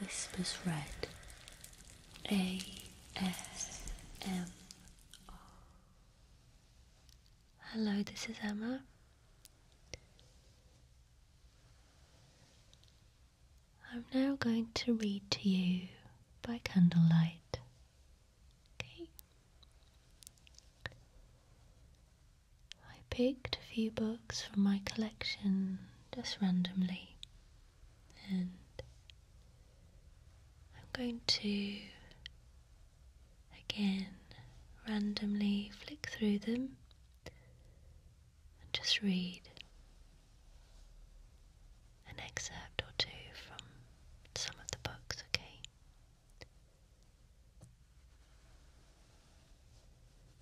Whispers Red A S M R. Hello, this is Emma. I'm now going to read to you by candlelight. Okay. I picked a few books from my collection just randomly, and I'm going to again randomly flick through them and just read an excerpt or two from some of the books, okay?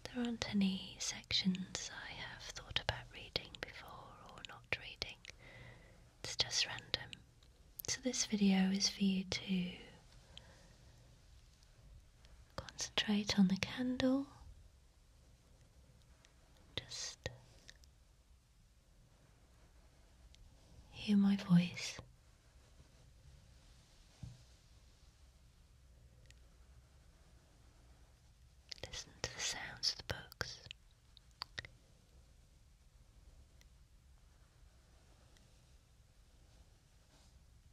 There aren't any sections I have thought about reading before or not reading. It's just random. So this video is for you to concentrate on the candle. Just hear my voice. Listen to the sounds of the books.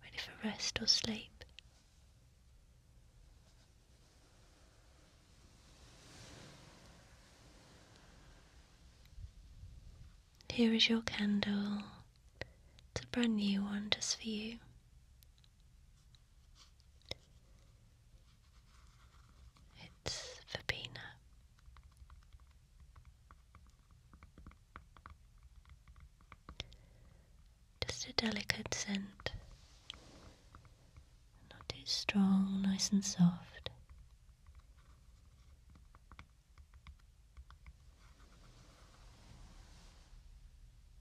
Ready for rest or sleep. Here is your candle. It's a brand new wonders for you. It's verbena. Just a delicate scent, not too strong, nice and soft.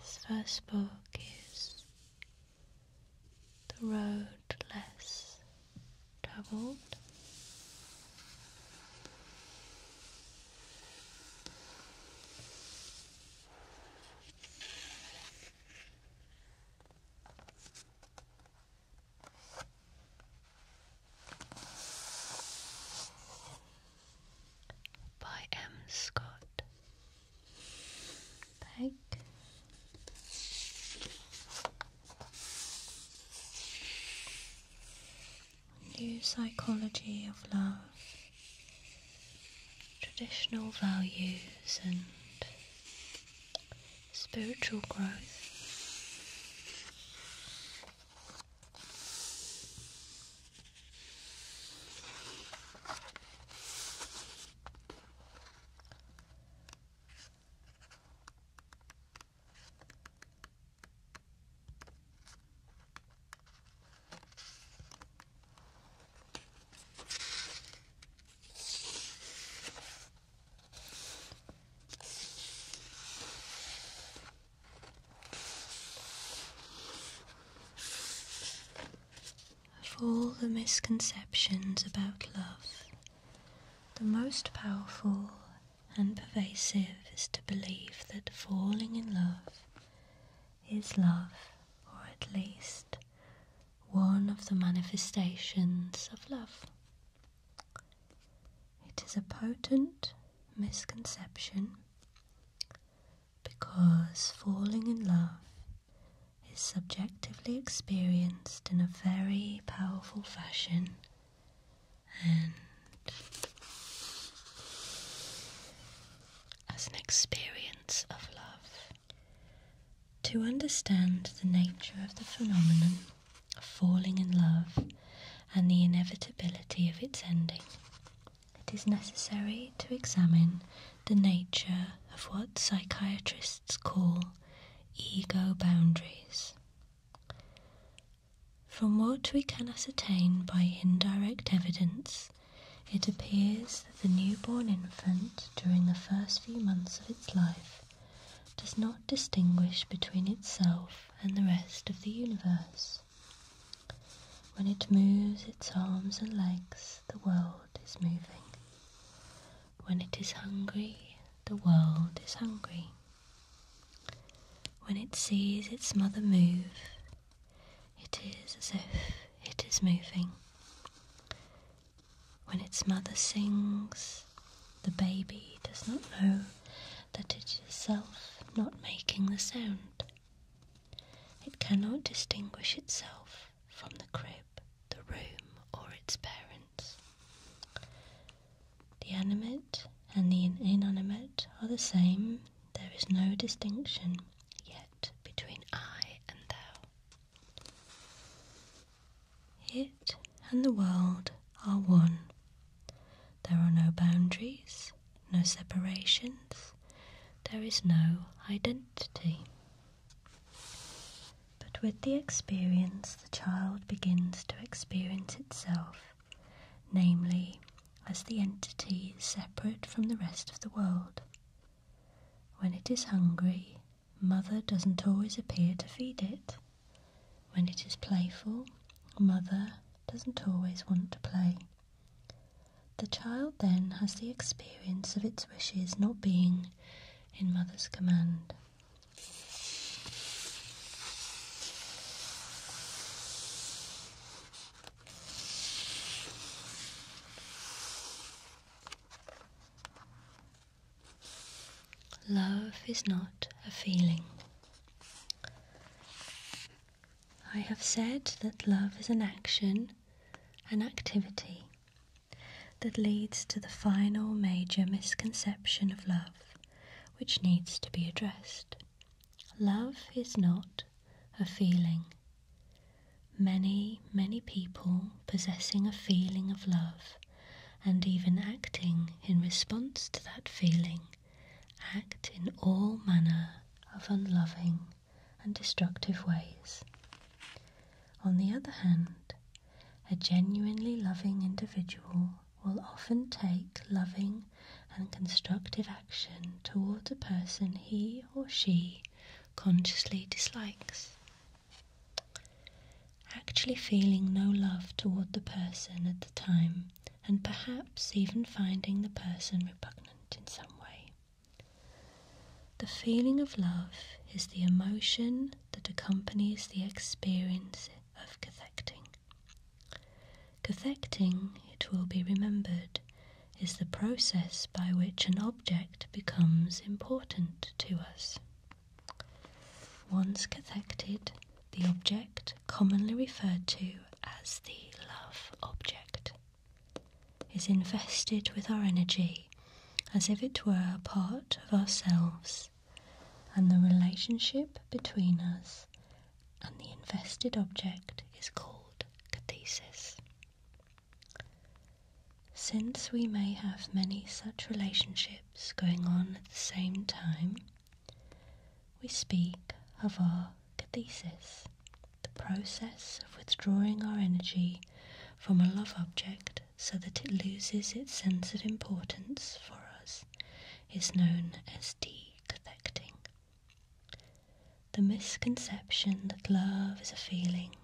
This first book is The Road Less Traveled by M. Scott. Peg. New psychology of love, traditional values, and spiritual growth. Of all the misconceptions about love, the most powerful and pervasive is to believe that falling in love is love, or at least one of the manifestations of love. It is a potent misconception because falling in love is subjectively experienced in a very powerful fashion as an experience of love. To understand the nature of the phenomenon of falling in love and the inevitability of its ending, it is necessary to examine the nature of what psychiatrists call ego boundaries. From what we can ascertain by indirect evidence, it appears that the newborn infant, during the first few months of its life, does not distinguish between itself and the rest of the universe. When it moves its arms and legs, the world is moving. When it is hungry, the world is hungry. When it sees its mother move, it is as if it is moving. When its mother sings, the baby does not know that it is itself not making the sound. It cannot distinguish itself from the crib, the room, or its parents. The animate and the inanimate are the same there is no distinction yet between I and thou. It and the world are one. There are no boundaries, no separations, there is no identity. But with the experience, the child begins to experience itself, namely, as the entity separate from the rest of the world. When it is hungry, Mother doesn't always appear to feed it. When it is playful, Mother doesn't always want to play. The child then has the experience of its wishes not being in Mother's command. Love is not a feeling. I have said that love is an action, an activity, that leads to the final major misconception of love, which needs to be addressed. Love is not a feeling. Many, many people possessing a feeling of love and even acting in response to that feeling act in all manner of unloving and destructive ways. On the other hand, a genuinely loving individual will often take loving and constructive action toward a person he or she consciously dislikes. Actually, feeling no love toward the person at the time, and perhaps even finding the person repugnant in some way. The feeling of love is the emotion that accompanies the experience of connecting. Defecting, it will be remembered, is the process by which an object becomes important to us. Once cathected, the object, commonly referred to as the love object, is invested with our energy as if it were a part of ourselves, and the relationship between us and the invested object is called cathesis. Since we may have many such relationships going on at the same time, we speak of our cathesis, the process of withdrawing our energy from a love object so that it loses its sense of importance for us is known as decathecting. The misconception that love is a feeling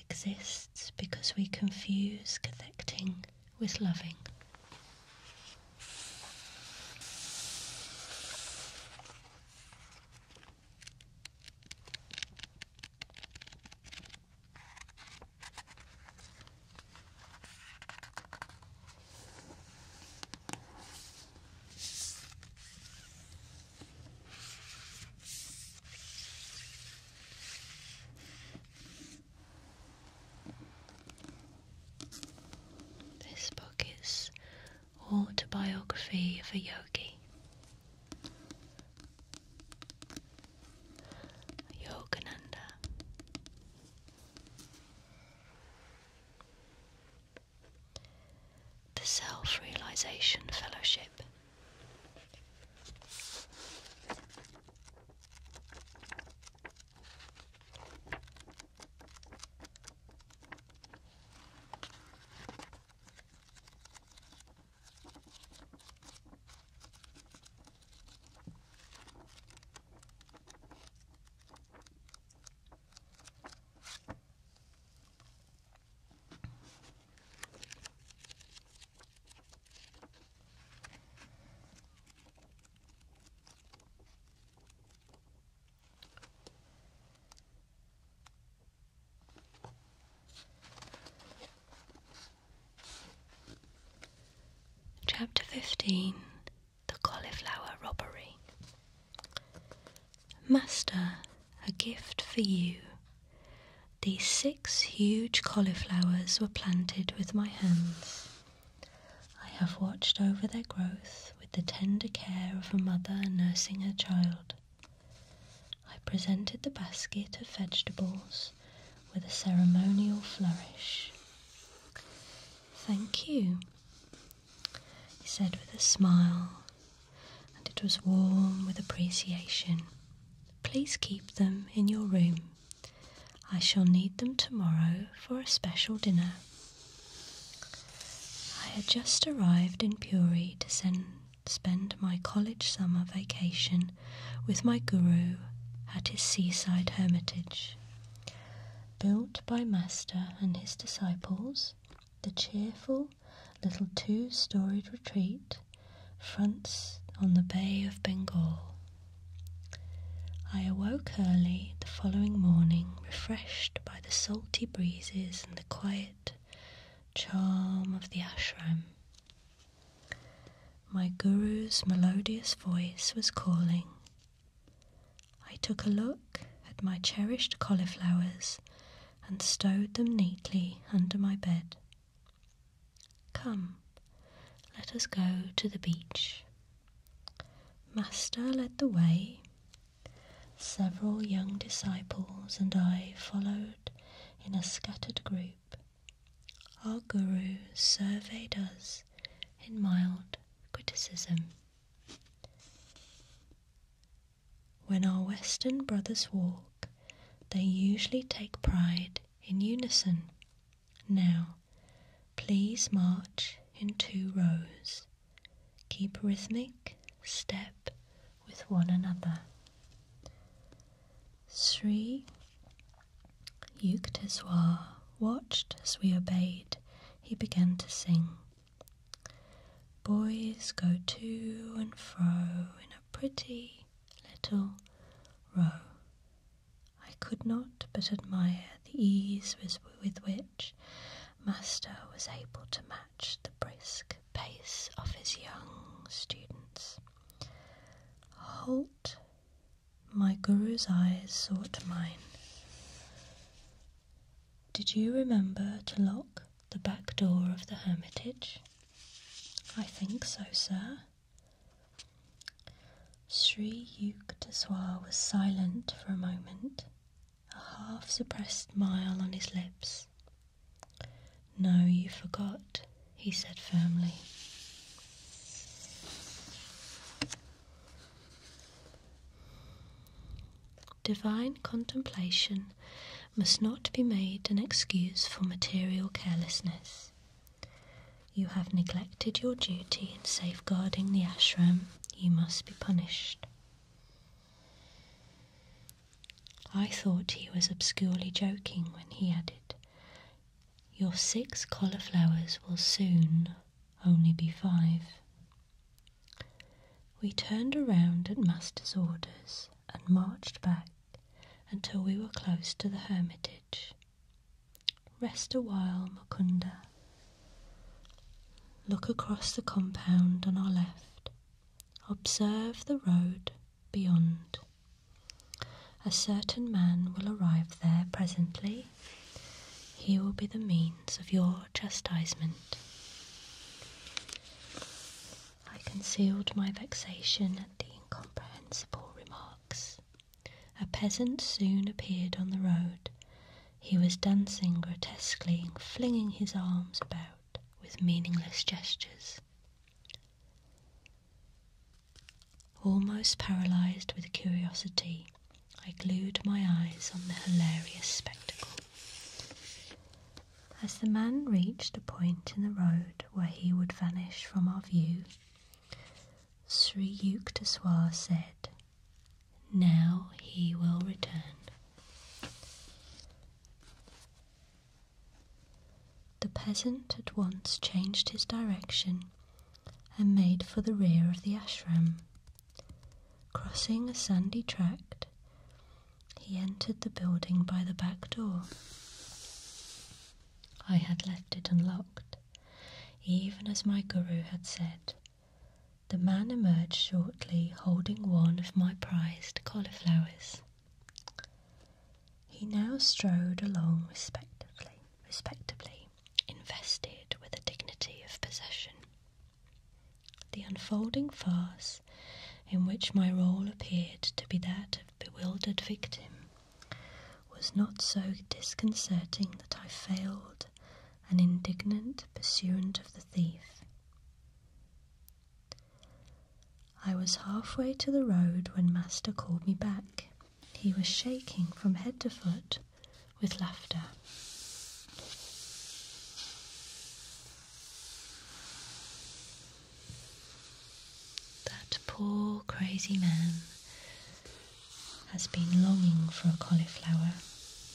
exists because we confuse connecting with loving. This book is Autobiography of a Yogi. Yogananda. The Self Realization Fellowship. Chapter 15 The Cauliflower Robbery Master, a gift for you. These six huge cauliflowers were planted with my hands. I have watched over their growth with the tender care of a mother nursing her child. I presented the basket of vegetables with a ceremonial flourish. Thank you he said with a smile, and it was warm with appreciation. Please keep them in your room. I shall need them tomorrow for a special dinner. I had just arrived in Puri to spend my college summer vacation with my guru at his seaside hermitage. Built by Master and his disciples, the cheerful little two storied retreat fronts on the Bay of Bengal. I awoke early the following morning, refreshed by the salty breezes and the quiet charm of the ashram. My guru's melodious voice was calling. I took a look at my cherished cauliflowers and stowed them neatly under my bed. Come, let us go to the beach. Master led the way. Several young disciples and I followed in a scattered group. Our guru surveyed us in mild criticism. When our Western brothers walk, they usually take pride in unison. Now, please march in two rows. Keep rhythmic step with one another. Sri Yukteswar watched as we obeyed. He began to sing. Boys go to and fro in a pretty little row. I could not but admire the ease with which Master was able to match the brisk pace of his young students. Halt! My guru's eyes sought mine. Did you remember to lock the back door of the hermitage? I think so, sir. Sri Yukteswar was silent for a moment, a half suppressed smile on his lips. No, you forgot, he said firmly divine contemplation must not be made an excuse for material carelessness. You have neglected your duty in safeguarding the ashram, you must be punished. I thought he was obscurely joking when he added, Your six cauliflowers will soon only be five. We turned around at master's orders and marched back until we were close to the hermitage. Rest awhile, Mukunda. Look across the compound on our left. Observe the road beyond. A certain man will arrive there presently. He will be the means of your chastisement. I concealed my vexation at the incomprehensible remarks. A peasant soon appeared on the road. He was dancing grotesquely flinging his arms about with meaningless gestures. Almost paralysed with curiosity, I glued my eyes on the hilarious spectacle. As the man reached a point in the road where he would vanish from our view, Sri Yukteswar said, Now he will return. The peasant at once changed his direction and made for the rear of the ashram. Crossing a sandy tract, he entered the building by the back door. I had left it unlocked, even as my guru had said. The man emerged shortly, holding one of my prized cauliflowers. He now strode along respectably, respectably, invested with the dignity of possession. The unfolding farce in which my role appeared to be that of bewildered victim was not so disconcerting that I failed an indignant pursuant of the thief. I was halfway to the road when master called me back. He was shaking from head to foot with laughter. That poor crazy man has been longing for a cauliflower,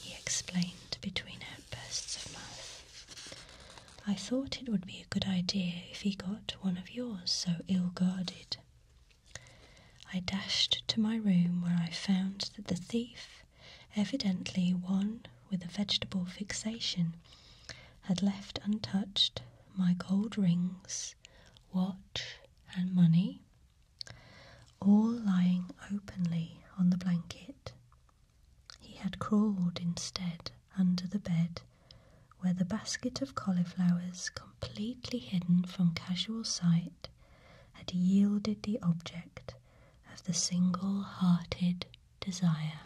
he explained between outbursts of mirth. I thought it would be a good idea if he got one of yours so ill guarded. I dashed to my room where I found that the thief Evidently, one with a vegetable fixation had left untouched my gold rings, watch, and money, all lying openly on the blanket. He had crawled instead under the bed, where the basket of cauliflowers, completely hidden from casual sight, had yielded the object of the single hearted desire.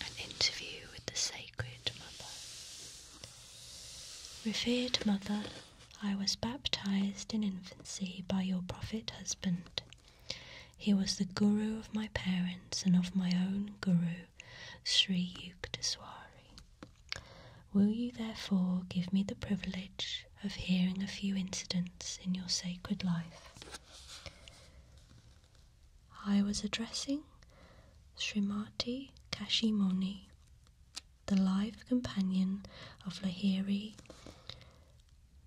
An interview with the Sacred Mother. Revered Mother, I was baptized in infancy by your prophet husband. He was the guru of my parents and of my own guru, Sri Yukteswari. Will you therefore give me the privilege of hearing a few incidents in your sacred life? I was addressing Srimati Kashimoni, the life companion of Lahiri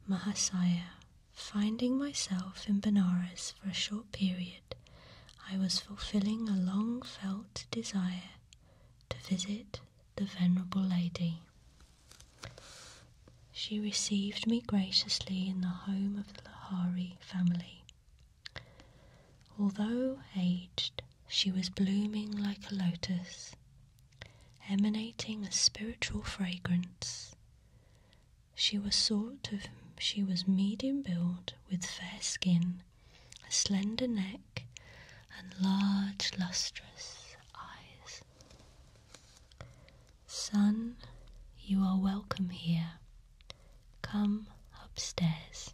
Mahasaya, finding myself in Benares for a short period, I was fulfilling a long felt desire to visit the Venerable Lady. She received me graciously in the home of the Lahari family. Although aged, she was blooming like a lotus emanating a spiritual fragrance. She was sort of she was medium build with fair skin, a slender neck, and large lustrous eyes. Son, you are welcome here. Come upstairs.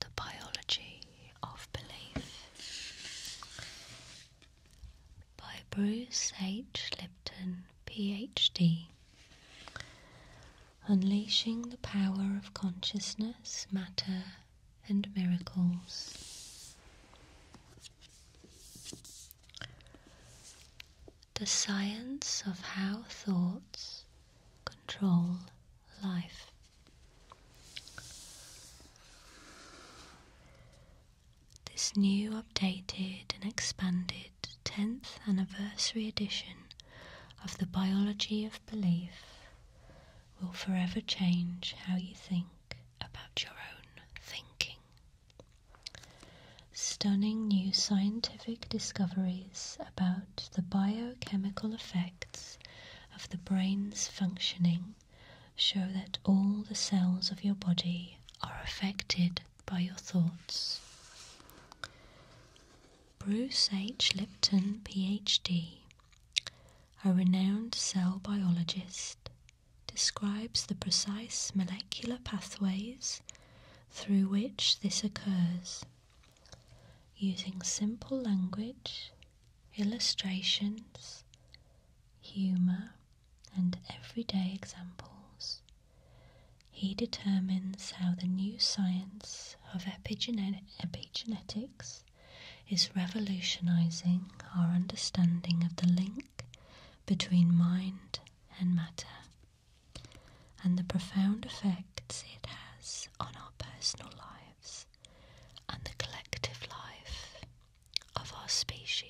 The Biology of Belief by Bruce H. Lipton, PhD. Unleashing the power of consciousness, matter, and miracles. The science of how thoughts control life. This new, updated, and expanded 10th anniversary edition of The Biology of Belief will forever change how you think about your own thinking. Stunning new scientific discoveries about the biochemical effects of the brain's functioning show that all the cells of your body are affected by your thoughts. Bruce H. Lipton, PhD, a renowned cell biologist, describes the precise molecular pathways through which this occurs using simple language, illustrations, humour, and everyday examples. He determines how the new science of epigenetics is revolutionizing our understanding of the link between mind and matter and the profound effects it has on our personal lives and the collective life of our species.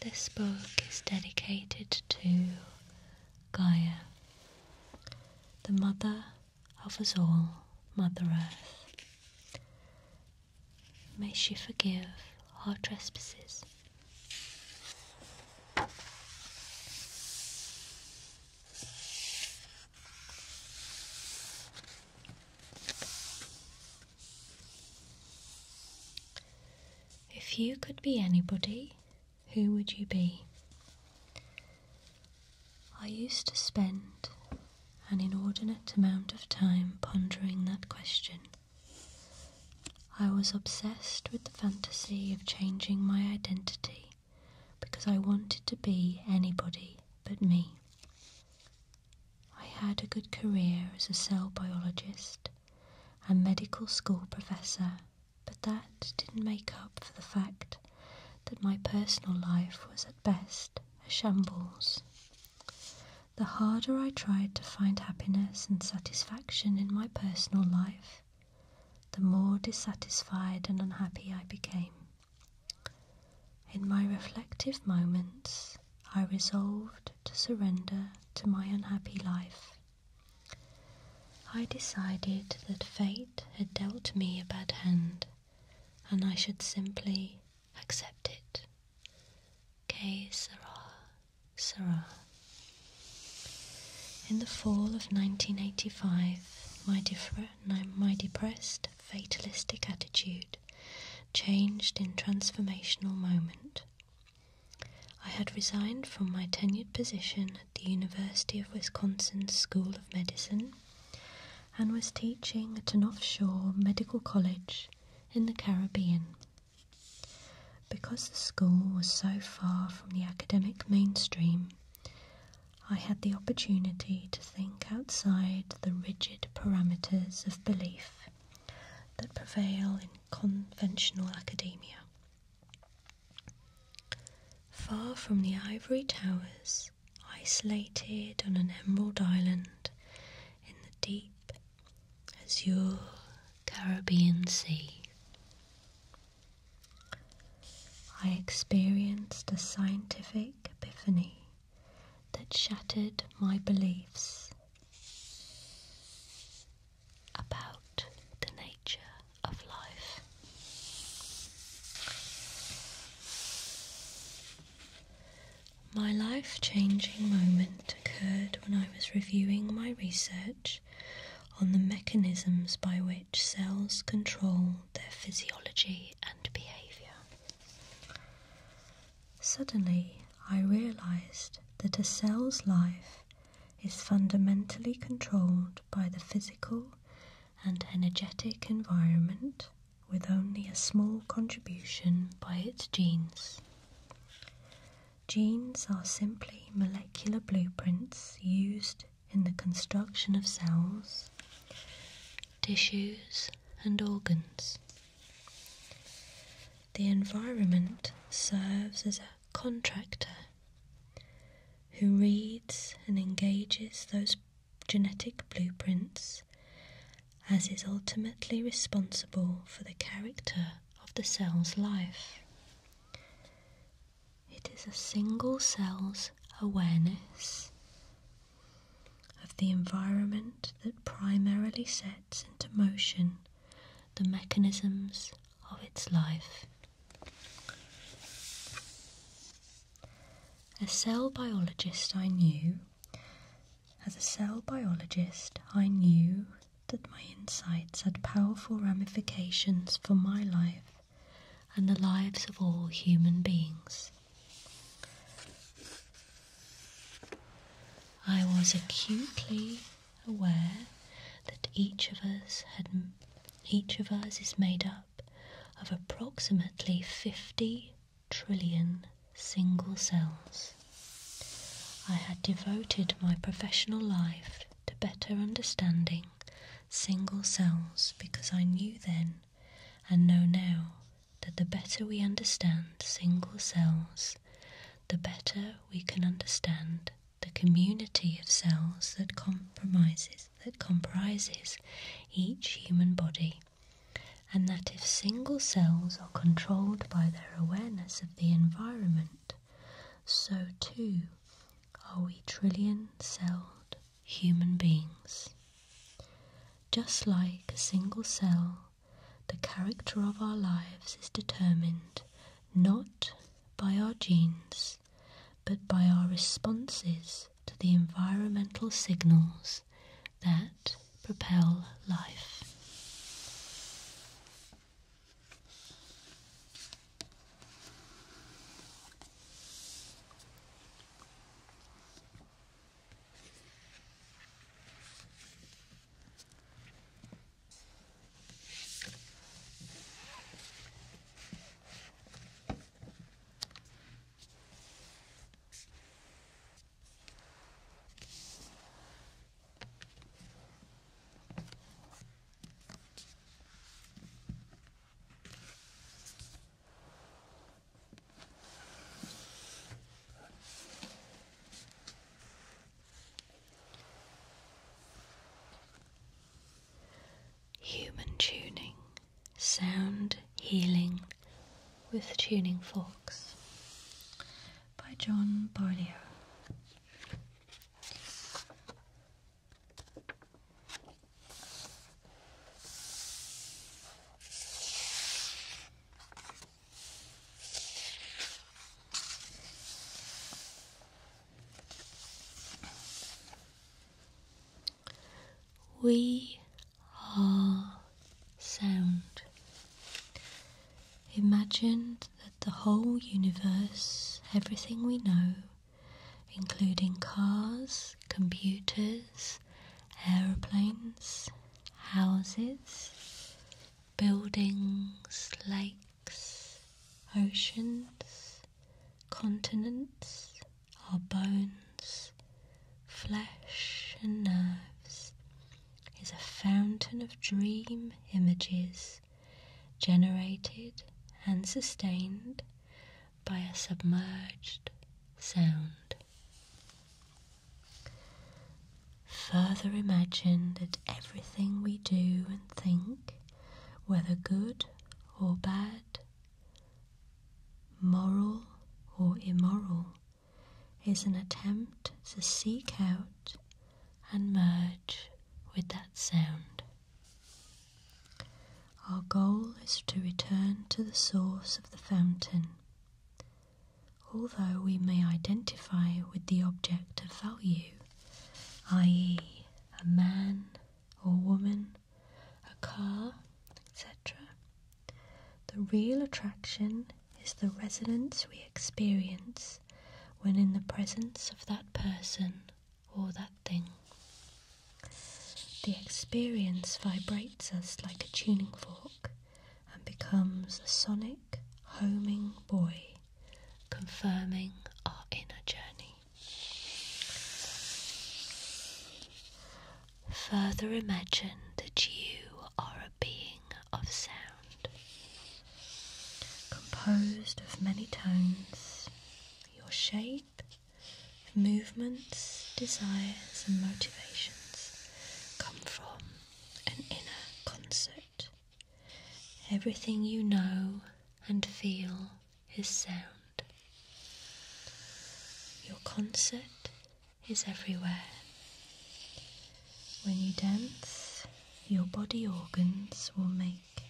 This book is dedicated to Gaia, the mother of us all, Mother Earth. May she forgive our trespasses. If you could be anybody, who would you be? I used to spend an inordinate amount of time pondering that question. I was obsessed with the fantasy of changing my identity because I wanted to be anybody but me. I had a good career as a cell biologist and medical school professor, but that didn't make up for the fact that my personal life was best a shambles. The harder I tried to find happiness and satisfaction in my personal life, the more dissatisfied and unhappy I became. In my reflective moments, I resolved to surrender to my unhappy life. I decided that fate had dealt me a bad hand, and I should simply accept it. K. Sarah, Sarah. In the fall of 1985, my, my depressed, fatalistic attitude changed in transformational moment. I had resigned from my tenured position at the University of Wisconsin School of Medicine and was teaching at an offshore medical college in the Caribbean. Because the school was so far from the academic mainstream, I had the opportunity to think outside the rigid parameters of belief that prevail in conventional academia. Far from the ivory towers isolated on an emerald island in the deep, azure Caribbean Sea. I experienced a scientific epiphany that shattered my beliefs about the nature of life. My life changing moment occurred when I was reviewing my research on the mechanisms by which cells control their physiology and behaviour. Suddenly, I realised that a cell's life is fundamentally controlled by the physical and energetic environment with only a small contribution by its genes. Genes are simply molecular blueprints used in the construction of cells, tissues, and organs. The environment serves as a contractor who reads and engages those genetic blueprints, as is ultimately responsible for the character of the cell's life. It is a single cell's awareness of the environment that primarily sets into motion the mechanisms of its life. A cell biologist I knew as a cell biologist, I knew that my insights had powerful ramifications for my life and the lives of all human beings. I was acutely aware that each of us had each of us is made up of approximately 50 trillion single cells. I had devoted my professional life to better understanding single cells because I knew then and know now that the better we understand single cells, the better we can understand the community of cells that compromises that comprises each human body and that if single cells are controlled by their awareness of the environment, so too are we trillion celled human beings. Just like a single cell, the character of our lives is determined not by our genes, but by our responses to the environmental signals that propel life. Human tuning Sound Healing with Tuning Forks by John Barlio. We are sound. Imagine that the whole universe, everything we know, including cars, computers, aeroplanes, houses, buildings, lakes, oceans, continents, our bones flesh, and nerves is a fountain of dream images generated and sustained by a submerged sound. Further imagine that everything we do and think, whether good or bad, moral or immoral, is an attempt to seek out and merge with that sound. Our goal is to return to the source of the fountain. Although we may identify with the object of value, i.e., a man or woman, a car, etc., the real attraction is the resonance we experience when in the presence of that person or that thing. The experience vibrates us like a tuning fork and becomes a sonic, homing buoy, confirming our inner journey. Further imagine that you are a being of sound, composed of many tones, your shape, movements, desires, and motivations come from an inner concert. Everything you know and feel is sound. Your concert is everywhere. When you dance, your body organs will make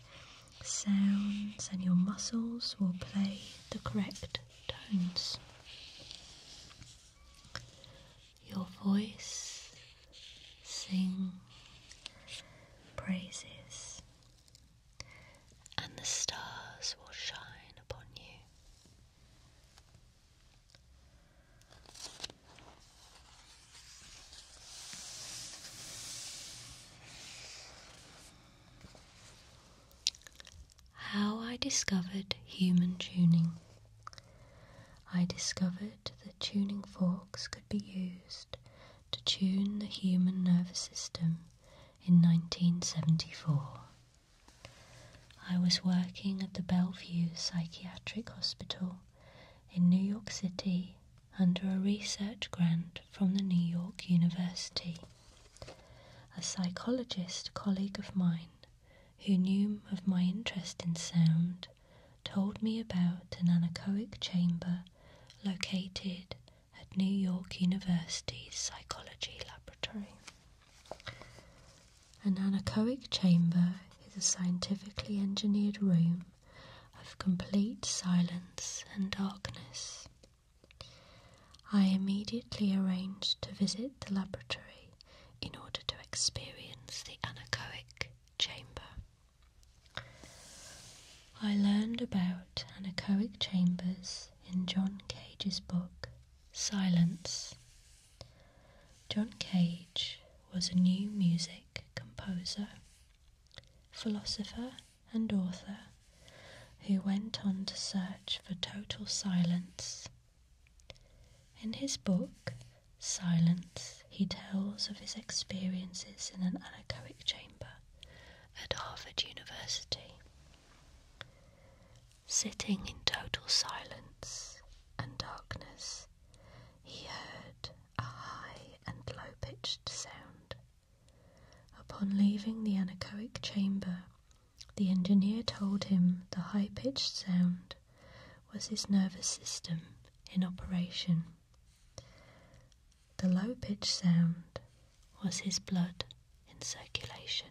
sounds and your muscles will play the correct tones. Your voice sing praises and the stars will shine upon you. How I discovered human tuning. I discovered that tuning forks could be used to tune the human nervous system in 1974. I was working at the Bellevue Psychiatric Hospital in New York City under a research grant from the New York University. A psychologist colleague of mine who knew of my interest in sound told me about an anechoic chamber located at New York University's psychology laboratory. An anechoic chamber is a scientifically engineered room of complete silence and darkness. I immediately arranged to visit the laboratory in order to experience the anechoic chamber. I learned about anechoic chambers in John Cage's book, Silence John Cage was a new music composer, philosopher, and author who went on to search for total silence. In his book, Silence, he tells of his experiences in an anechoic chamber at Harvard University. Sitting in total silence and darkness, he heard a high and low pitched sound. Upon leaving the anechoic chamber, the engineer told him the high pitched sound was his nervous system in operation. The low pitched sound was his blood in circulation.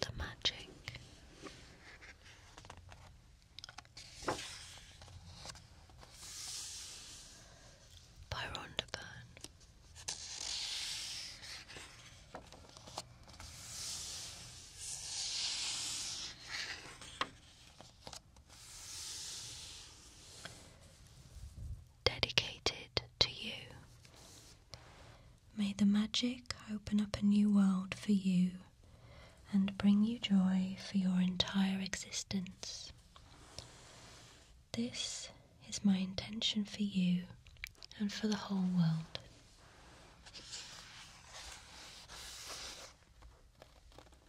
The magic. By Rhonda Byrne. Dedicated to you. May the magic open up a new world for you and bring you joy for your entire existence. This is my intention for you and for the whole world.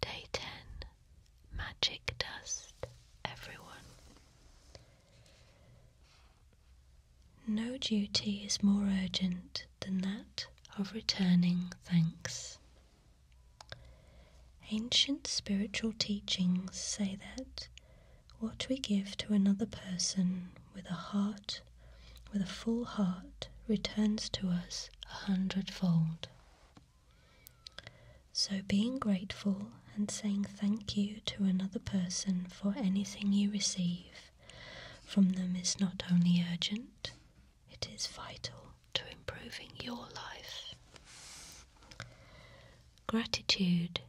Day 10 Magic Dust, everyone. No duty is more urgent than that of returning thanks. Ancient spiritual teachings say that what we give to another person with a heart, with a full heart, returns to us a hundredfold. So being grateful and saying thank you to another person for anything you receive from them is not only urgent, it is vital to improving your life. Gratitude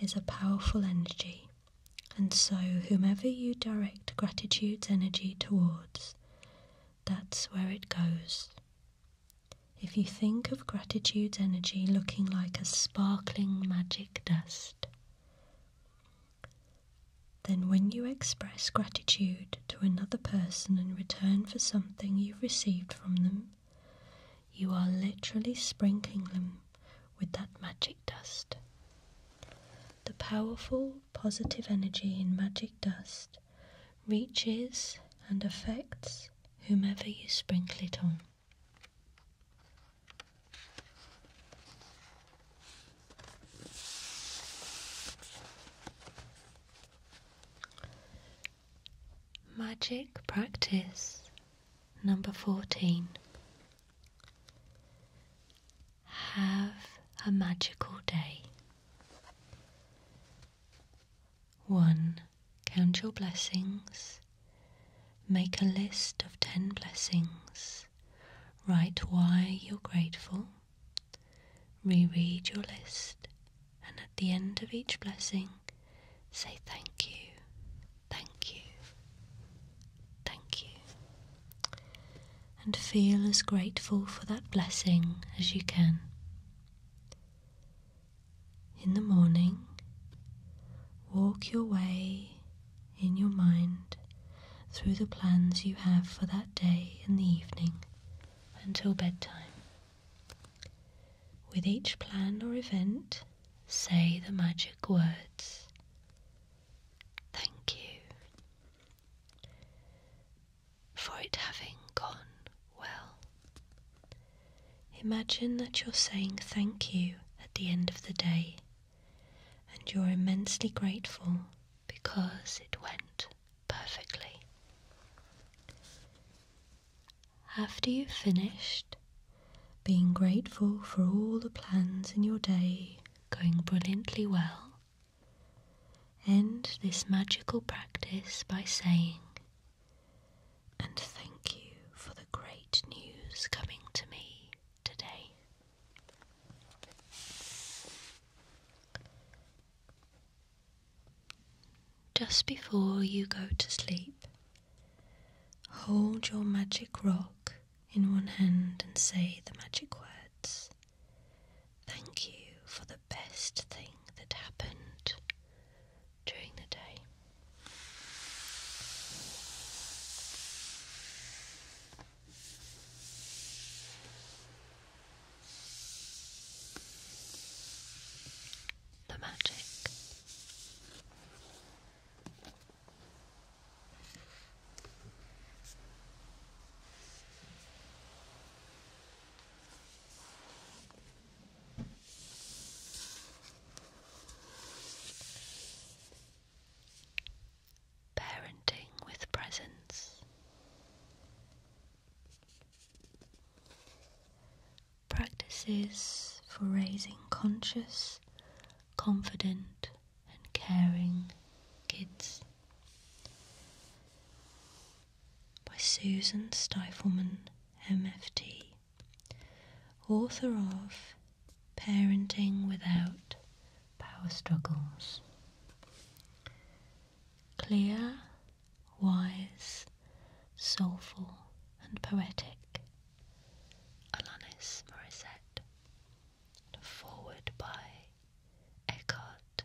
is a powerful energy, and so whomever you direct gratitude's energy towards, that's where it goes. If you think of gratitude's energy looking like a sparkling magic dust, then when you express gratitude to another person in return for something you've received from them, you are literally sprinkling them with that magic dust. The powerful positive energy in magic dust reaches and affects whomever you sprinkle it on. Magic practice number 14. Have a magical day. 1. Count your blessings. Make a list of 10 blessings. Write why you're grateful. Reread your list and at the end of each blessing, say thank you, thank you, thank you. And feel as grateful for that blessing as you can. In the morning, walk your way in your mind through the plans you have for that day and the evening until bedtime. With each plan or event, say the magic words. Thank you for it having gone well. Imagine that you're saying thank you at the end of the day and you're immensely grateful because it went perfectly. After you've finished, being grateful for all the plans in your day going brilliantly well, end this magical practice by saying, and thank you for the great news coming to me today. Just before you go to sleep, hold your magic rock in one hand and say the magic words Thank you for the best thing that happened during the day the magic. Parenting with presents. Practices for raising conscious, confident, and caring kids by Susan Stifelman, MFT, author of Parenting Without Power Struggles. Clear wise, soulful, and poetic. Alanis Morissette. forward by Eckhart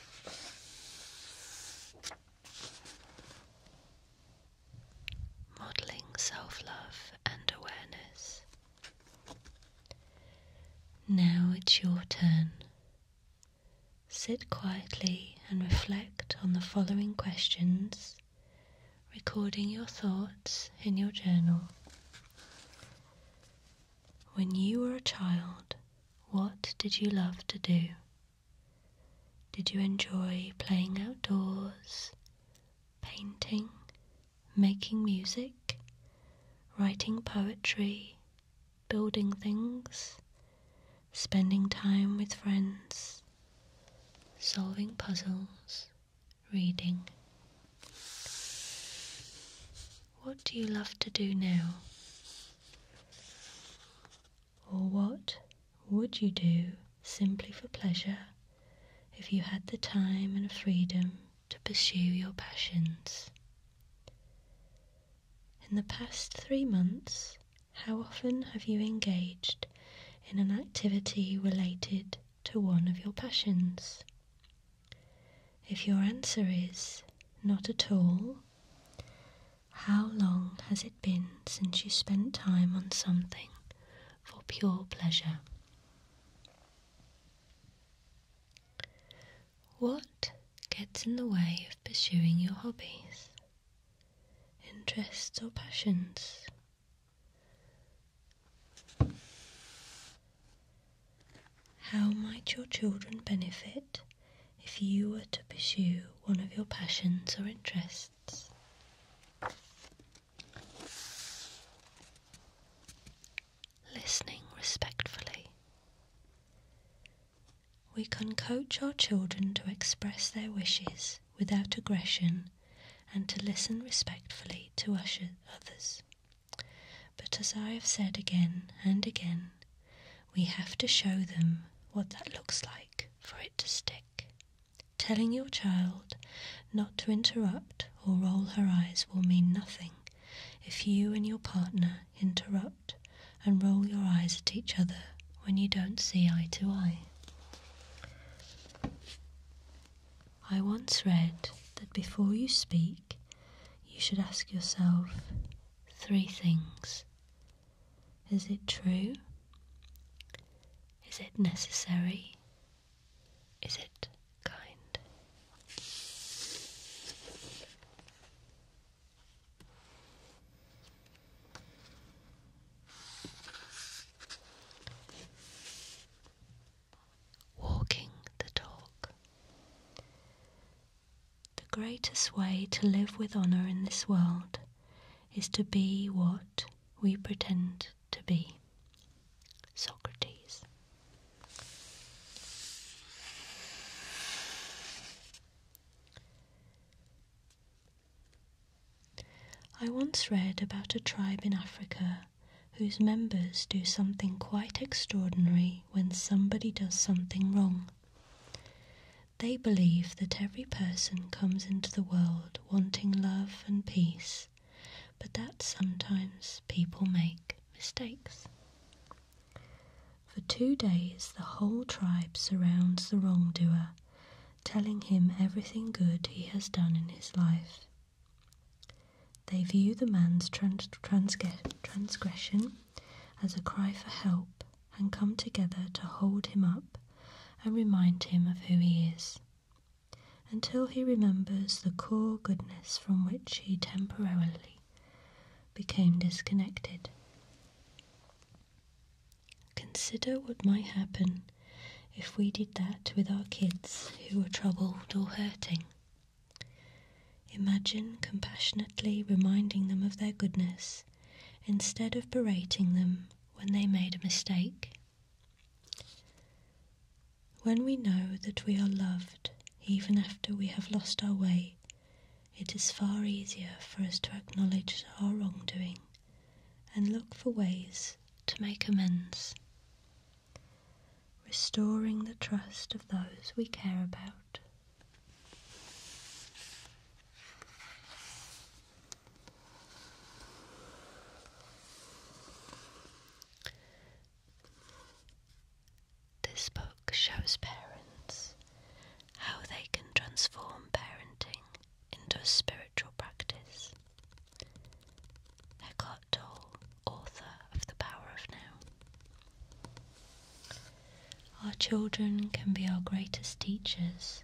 Modeling self love and awareness. Now it's your turn. Sit quietly and reflect on the following questions, recording your thoughts in your journal. When you were a child, what did you love to do? Did you enjoy playing outdoors, painting, making music, writing poetry, building things, spending time with friends, solving puzzles, reading? What do you love to do now? Or what would you do simply for pleasure if you had the time and freedom to pursue your passions? In the past three months, how often have you engaged in an activity related to one of your passions? If your answer is not at all, how long has it been since you spent time on something for pure pleasure? What gets in the way of pursuing your hobbies, interests, or passions? How might your children benefit if you were to pursue one of your passions or interests? Listening respectfully. We can coach our children to express their wishes without aggression and to listen respectfully to others. But as I have said again and again, we have to show them what that looks like for it to stick. Telling your child not to interrupt or roll her eyes will mean nothing if you and your partner interrupt and roll your eyes at each other when you don't see eye to eye. I once read that before you speak, you should ask yourself three things. Is it true? Is it necessary? Is it kind? Walking the talk. The greatest way to live with honor in this world is to be what we pretend to be. Socrates. I once read about a tribe in Africa whose members do something quite extraordinary when somebody does something wrong. They believe that every person comes into the world wanting love and peace, but that sometimes people make mistakes. For two days, the whole tribe surrounds the wrongdoer, telling him everything good he has done in his life. They view the man's transgression as a cry for help and come together to hold him up and remind him of who he is, until he remembers the core goodness from which he temporarily became disconnected. Consider what might happen if we did that with our kids who are troubled or hurting. Imagine compassionately reminding them of their goodness instead of berating them when they made a mistake. When we know that we are loved, even after we have lost our way, it is far easier for us to acknowledge our wrongdoing and look for ways to make amends. Restoring the trust of those we care about. This book shows parents how they can transform parenting into a spiritual practice. Eckhart Tolle, author of The Power of Now. Our children can be our greatest teachers.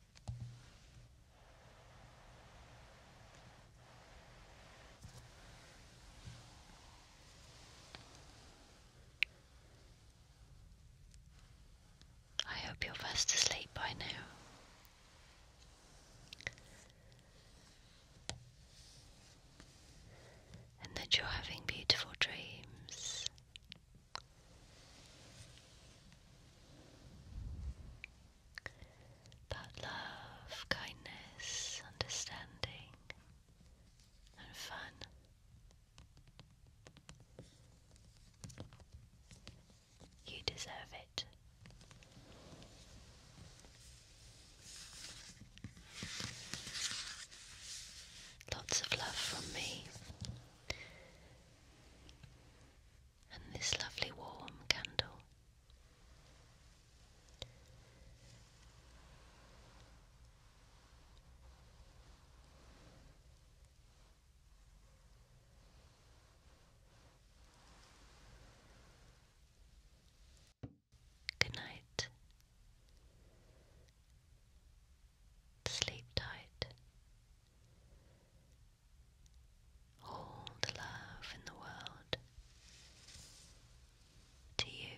I hope you're fast asleep by now. And that you're having beautiful dreams that love, kindness, understanding, and fun. You deserve it. Lots of love from me and this lovely warm candle. Good night. Sleep tight. All the love in the world to you.